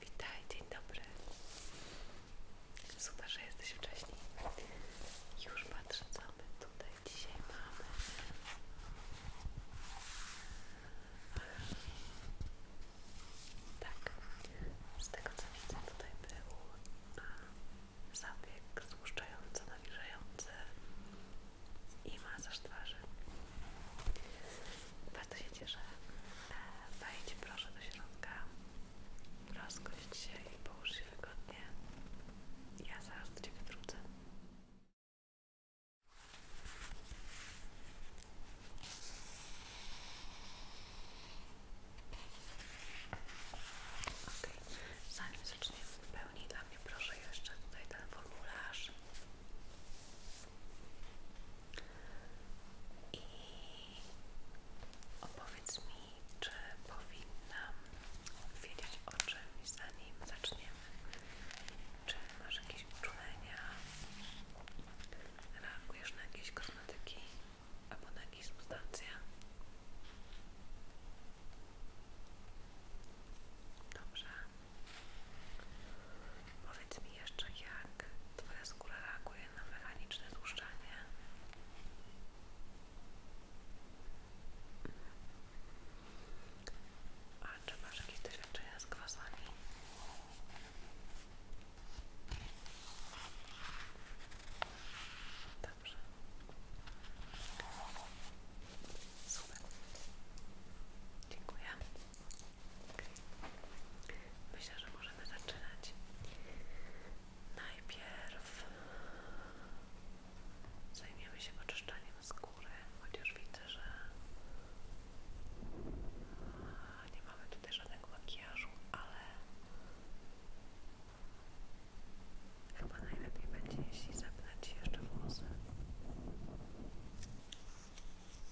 Witaj, dzień dobry. Super, że jesteś wcześniej. Już patrzę, co my tutaj dzisiaj mamy. Tak, z tego co widzę, tutaj był zabieg złuszczający, nawilżający i masaż twarzy bardzo się cieszę. E, wejdź proszę do środka, rozgość się i połóż wygodnie. Ja zaraz do Ciebie wrócę. Ok, zanim zaczniemy pełni dla mnie proszę jeszcze tutaj ten formularz i opowiedz mi, czy powinnam wiedzieć o czymś, zanim zaczniemy. Czy masz jakieś uczucia, Reagujesz na jakieś kosmetyki albo na jakieś substancje? Dobrze. Powiedz mi jeszcze, jak Twoja skóra reaguje na mechaniczne tłuszczenie? A czy masz jakieś doświadczenia z kwasami? Dobrze. Super. Dziękuję. Myślę, że możemy zaczynać. Najpierw zajmiemy się oczyszczaniem skóry, chociaż widzę, że nie mamy tutaj żadnego makijażu, ale chyba najlepiej będzie, jeśli zapnę jeszcze włosy.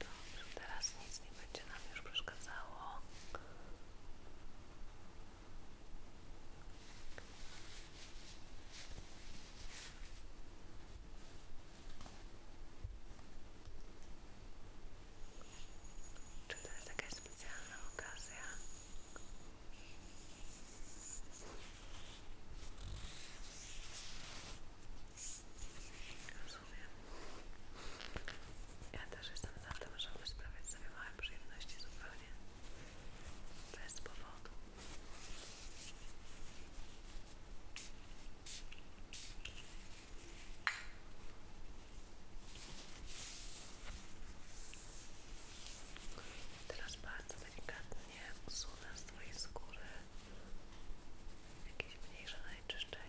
Dobrze, teraz nic nie będzie nam już przeszkadzało. Czy to jest jakaś specjalna okazja? Rozumiem. Ja też jestem za tym, żeby sprawiać sobie małe przyjemności zupełnie bez powodu. Teraz bardzo delikatnie usunę z Twojej skóry jakieś mniejsze zanieczyszczenia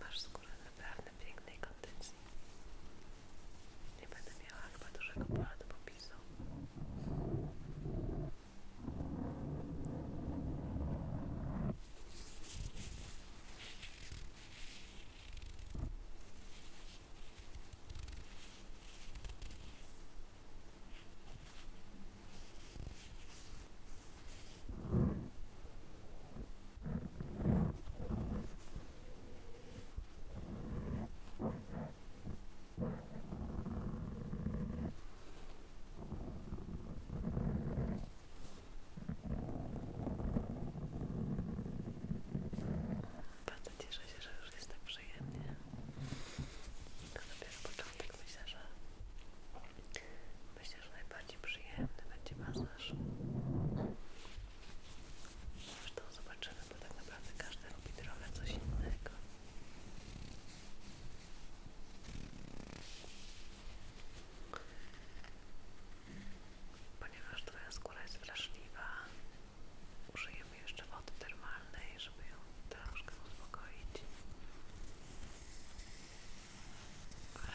Masz skórę naprawdę pięknej kondycji. Nie będę miała chyba dużego pola do popisu. Bardzo cieszę się, że już jest tak przyjemnie. To dopiero początek myślę, że Myślę, że najbardziej przyjemny będzie masaż. Zresztą zobaczymy, bo tak naprawdę każdy robi trochę coś innego. Ponieważ Twoja skóra jest wrażliwa, użyjemy jeszcze wody termalnej, żeby ją troszkę uspokoić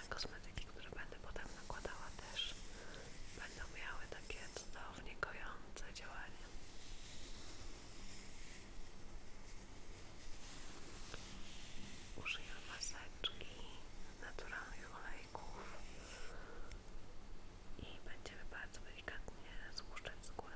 kosmetyki, które będę potem nakładała też będą miały takie cudownie kojące działanie użyję maseczki naturalnych olejków i będziemy bardzo delikatnie złuszczać skórę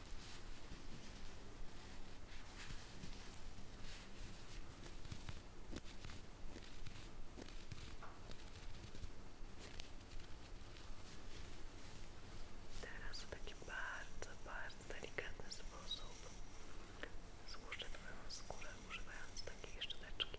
Teraz w taki bardzo, bardzo delikatny sposób złuszczę Twoją skórę używając takiej szczoteczki. Dobrze.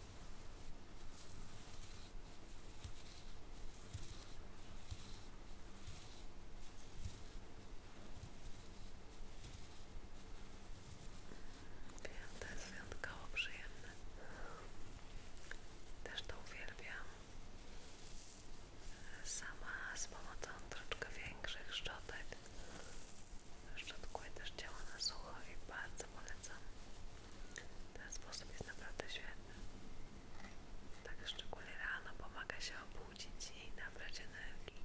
Wiem, to jest wyjątkowo przyjemne. Też to uwielbiam. Sama z pomocą troszkę większych szczotek. Szczotkuję też ciało na sucho i bardzo polecam. Ten sposób jest naprawdę świetny. Tak szczególnie rano pomaga się obudzić i nabrać energii.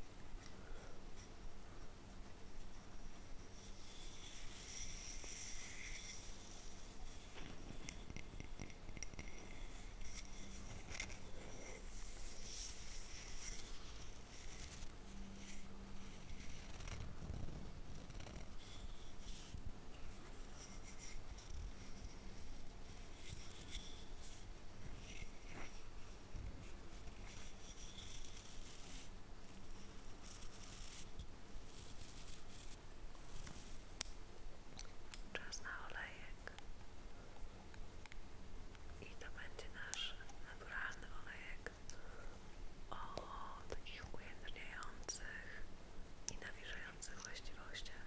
Czas na olejek i to będzie nasz naturalny olejek tak. o takich ujędrniających i nawilżających właściwościach.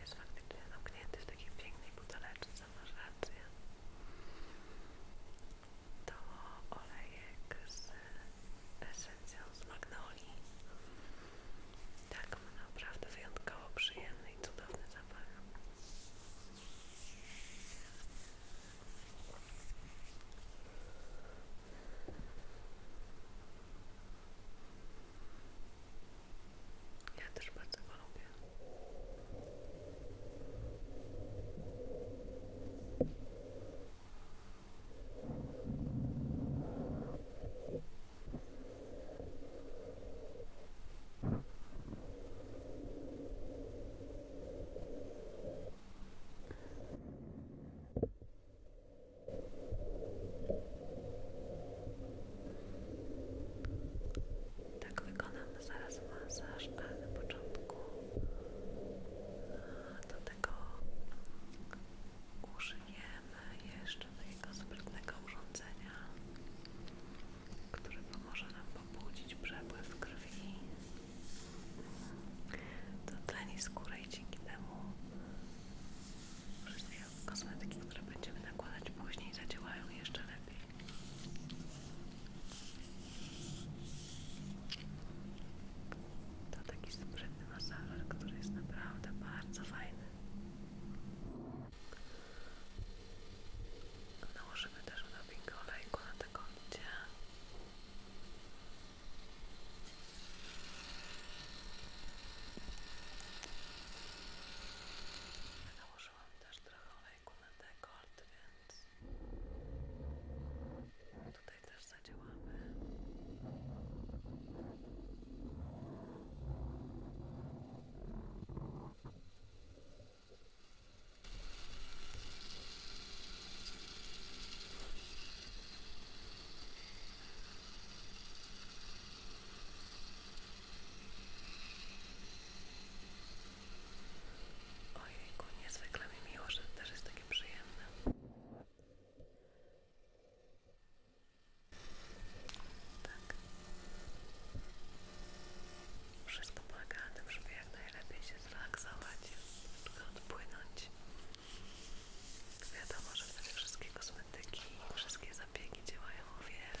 Jest faktycznie zamknięty w takiej pięknej buteleczce, masz rację. To olejek z esencją z magnolii. Tak, ma no naprawdę wyjątkowo przyjemny i cudowny zapach. Ja też bardzo lubię. Tak wykonamy zaraz masaż, na początku do tego użyję potrzebujemy jeszcze takiego sprytnego urządzenia, które pomoże nam pobudzić przepływ krwi to tleni skóry i dzięki temu wszystkie kosmetyki, które będziemy nakładać później zadziałają jeszcze lepiej. To taki sprytny masażer, który jest naprawdę bardzo fajny. Nałożymy też odrobinkę olejku na te koncie. Nałożyłam też trochę olejku na dekolt, więc tutaj też zadziałamy. Ojejku, niezwykle mi miło, że to też jest takie przyjemne. Tak. Wszystko polega na tym, żeby jak najlepiej się zrelaksować, troszkę odpłynąć. Wiadomo, że wtedy wszystkie kosmetyki, wszystkie zabiegi działają o wiele.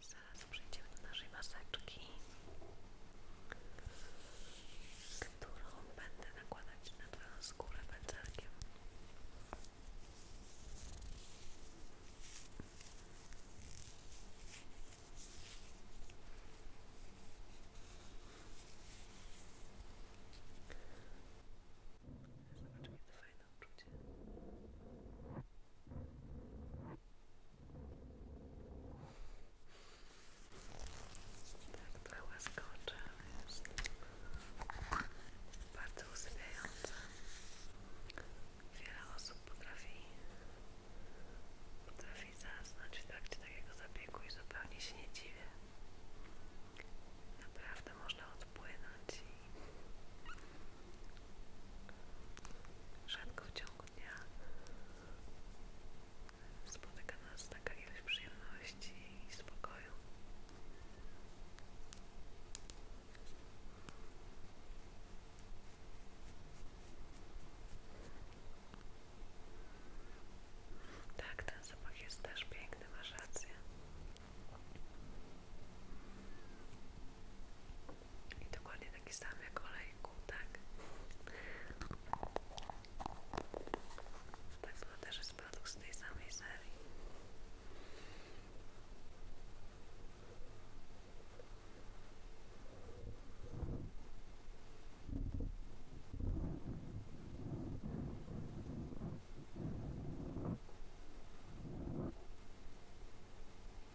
Zaraz przejdziemy do naszej maseczki, którą będę nakładać na Twoją skórę pędzelkiem. Zobaczmy, jak to fajnie przyjemne uczucie. Tak, trochę łaskocze, ale jest bardzo usypiające. Wiele osób potrafi, potrafi zasnąć w trakcie takiego zabiegu i zupełnie się nie dziwię. Naprawdę można odpłynąć Rzadko w ciągu dnia spotyka nas przyjemności i spokoju. Tak, ten zapach jest też piękny, masz rację. I dokładnie taki sam jak olejku, tak? Tak, to też jest produkt z tej samej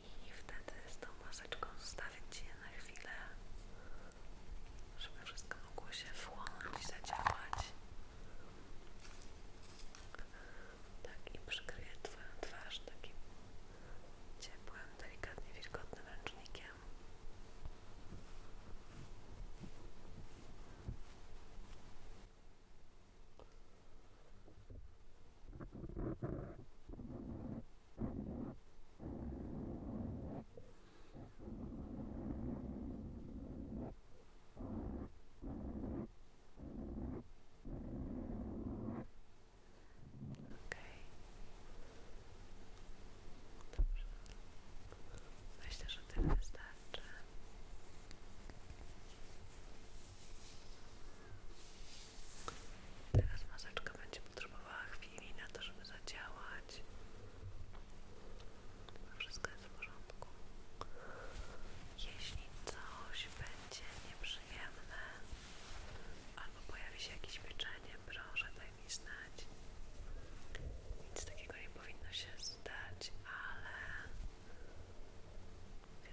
i wtedy z tą maseczką zostawić je na chwilę, żeby wszystko mogło się wchłonąć zadziałać. Tak i przykryć Twoją twarz takim ciepłym, delikatnie wilgotnym ręcznikiem. Dobrze. Myślę, że tyle wystarczy. Teraz maseczka będzie potrzebowała chwili na to, żeby zadziałać. Wszystko jest w porządku. Jeśli coś będzie nieprzyjemne albo pojawi się jakieś pieczenie, proszę daj mi znać. Nic takiego nie powinno się zdać, ale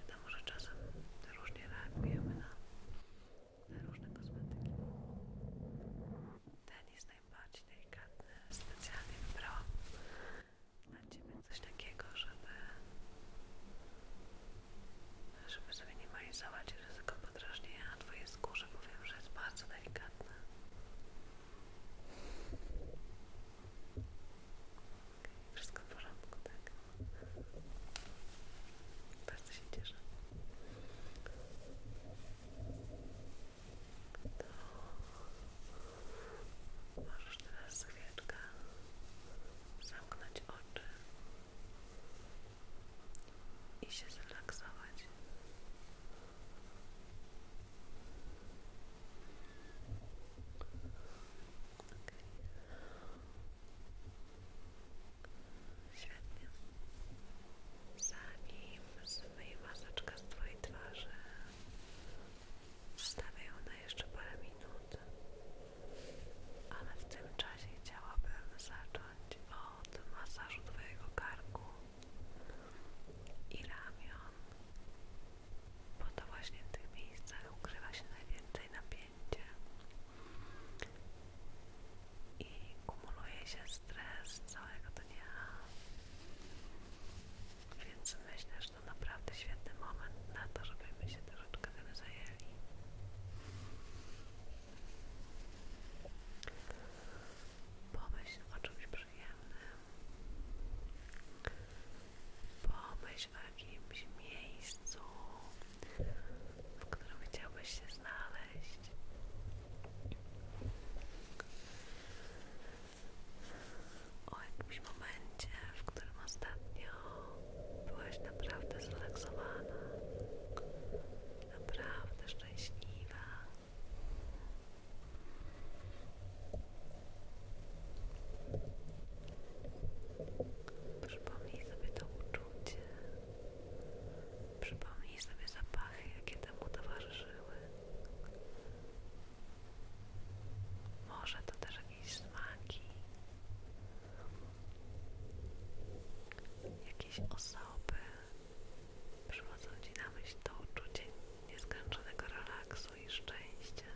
wiadomo, że czasem różnie reagujemy na różne kosmetyki. Ten jest najbardziej delikatny. Specjalnie wybrałam dla Ciebie coś takiego, żeby żeby zminimalizować ryzyko podrażnienia na twoje skórze. Powiem, że jest bardzo delikatne. Wszystko w porządku, tak? bardzo się cieszę. To zamknąć oczy i się zrelaksować. Okay. Zanim zmyję maseczkę z Twojej twarzy, zostawię ją na jeszcze parę minut, ale w tym czasie chciałabym zacząć od masażu Twojego karku i ramion, bo to właśnie w tych miejscach ukrywa się najwięcej napięcia i kumuluje się stres całego dnia. Więc myślę, że to naprawdę świetny moment na to, żebyśmy się troszeczkę tym zajęli. Pomyśl o czymś przyjemnym. Pomyśl w jakimś miejscu, w którym chciałbyś się znaleźć. O jakimś momencie, w którym ostatnio byłaś naprawdę zrelaksowana, naprawdę szczęśliwa. Przypomnij sobie to uczucie, Przypomnij sobie zapachy, jakie temu towarzyszyły. Może to też jakieś smaki, jakieś osoby. Przychodzą Ci na myśl to uczucie nieskończonego relaksu i szczęścia,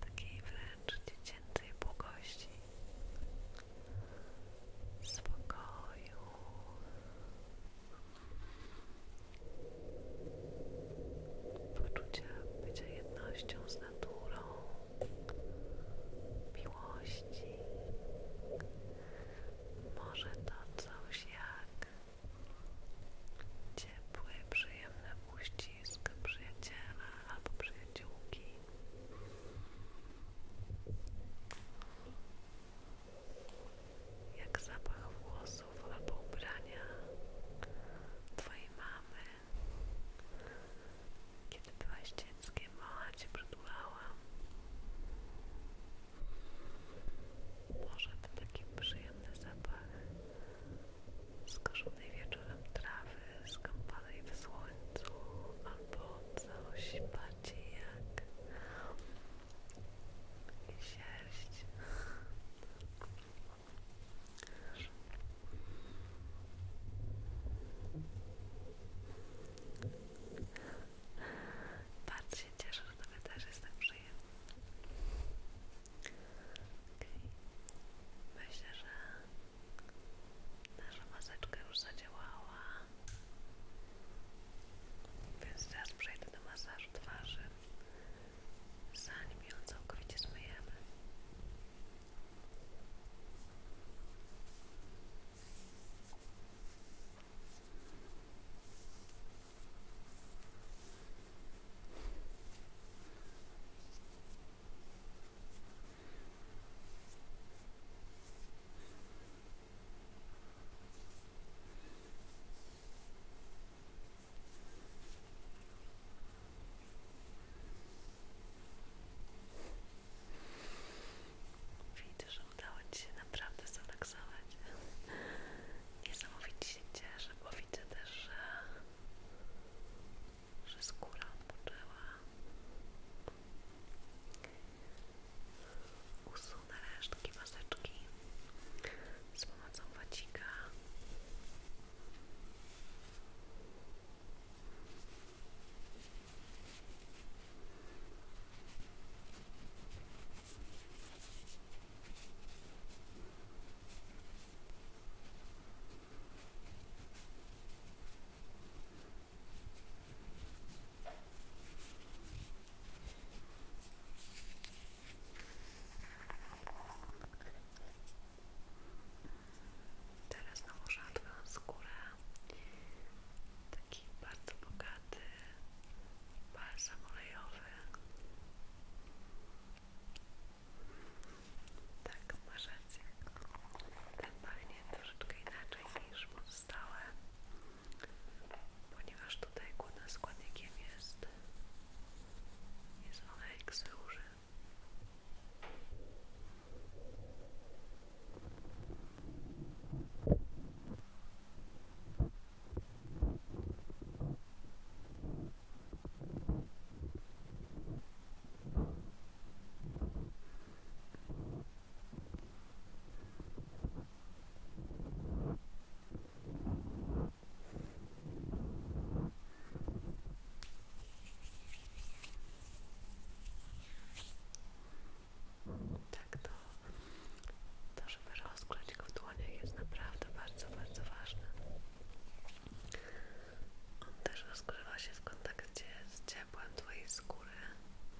takiej wręcz dziecięcej błogości spokoju. Poczucia bycia jednością z naturą, miłości. Może to coś jak ciepły, przyjemny uścisk przyjaciela albo kciuki. Jak zapach włosów albo ubrania Twojej mamy. Kiedy byłaś dzieckiem, mała Cię przytulała. Może to taki przyjemny zapach skorzonej wieczorem trawy skąpanej w słońcu albo coś bardziej jak sierść bardzo się cieszę, że tobie też jest tak myślę, że Nasza maseczka już zadziałała. Więc teraz przejdę do masażu twarzy. Zanim ją całkowicie zmyjemy. Widzę, że udało Ci się naprawdę zrelaksować. Niesamowicie się cieszę, bo widzę też, że, że skóra odpoczęła, usunę resztki maseczki z pomocą wacika. Teraz nałożę skórę taki bardzo bogaty balsam olejowy tak, masz rację ten pachnie troszeczkę inaczej niż mocno stałe ponieważ tutaj głównym składnikiem jest jest olejek tak to, to żeby rozgrzać go w dłoniach jest naprawdę bardzo, bardzo ważne. On też rozgrzewa się w kontakcie z ciepłem Twojej skóry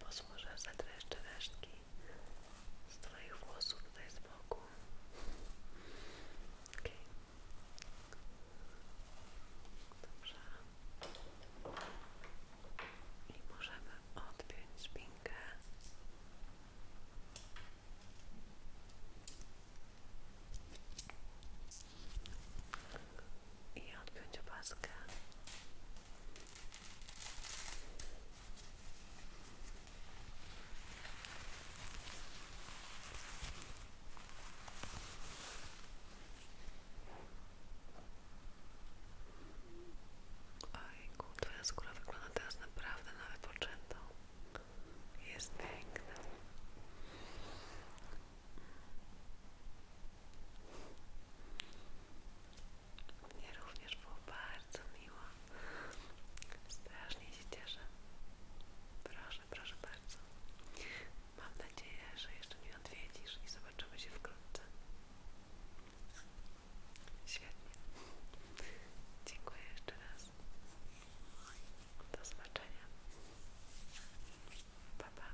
Posłużę za te jeszcze resztki z Twoich włosów tutaj z boku. Okay. Dobrze. I możemy odpiąć spinkę. I odpiąć opaskę. Ojku, twoja skóra wygląda teraz naprawdę na wypoczętą. Jest piękna. Mnie również było bardzo miło. Strasznie się cieszę. Proszę, proszę bardzo. Mam nadzieję, że jeszcze mnie odwiedzisz i zobaczymy się wkrótce. Świetnie. Dziękuję jeszcze raz. Do zobaczenia. Pa, pa.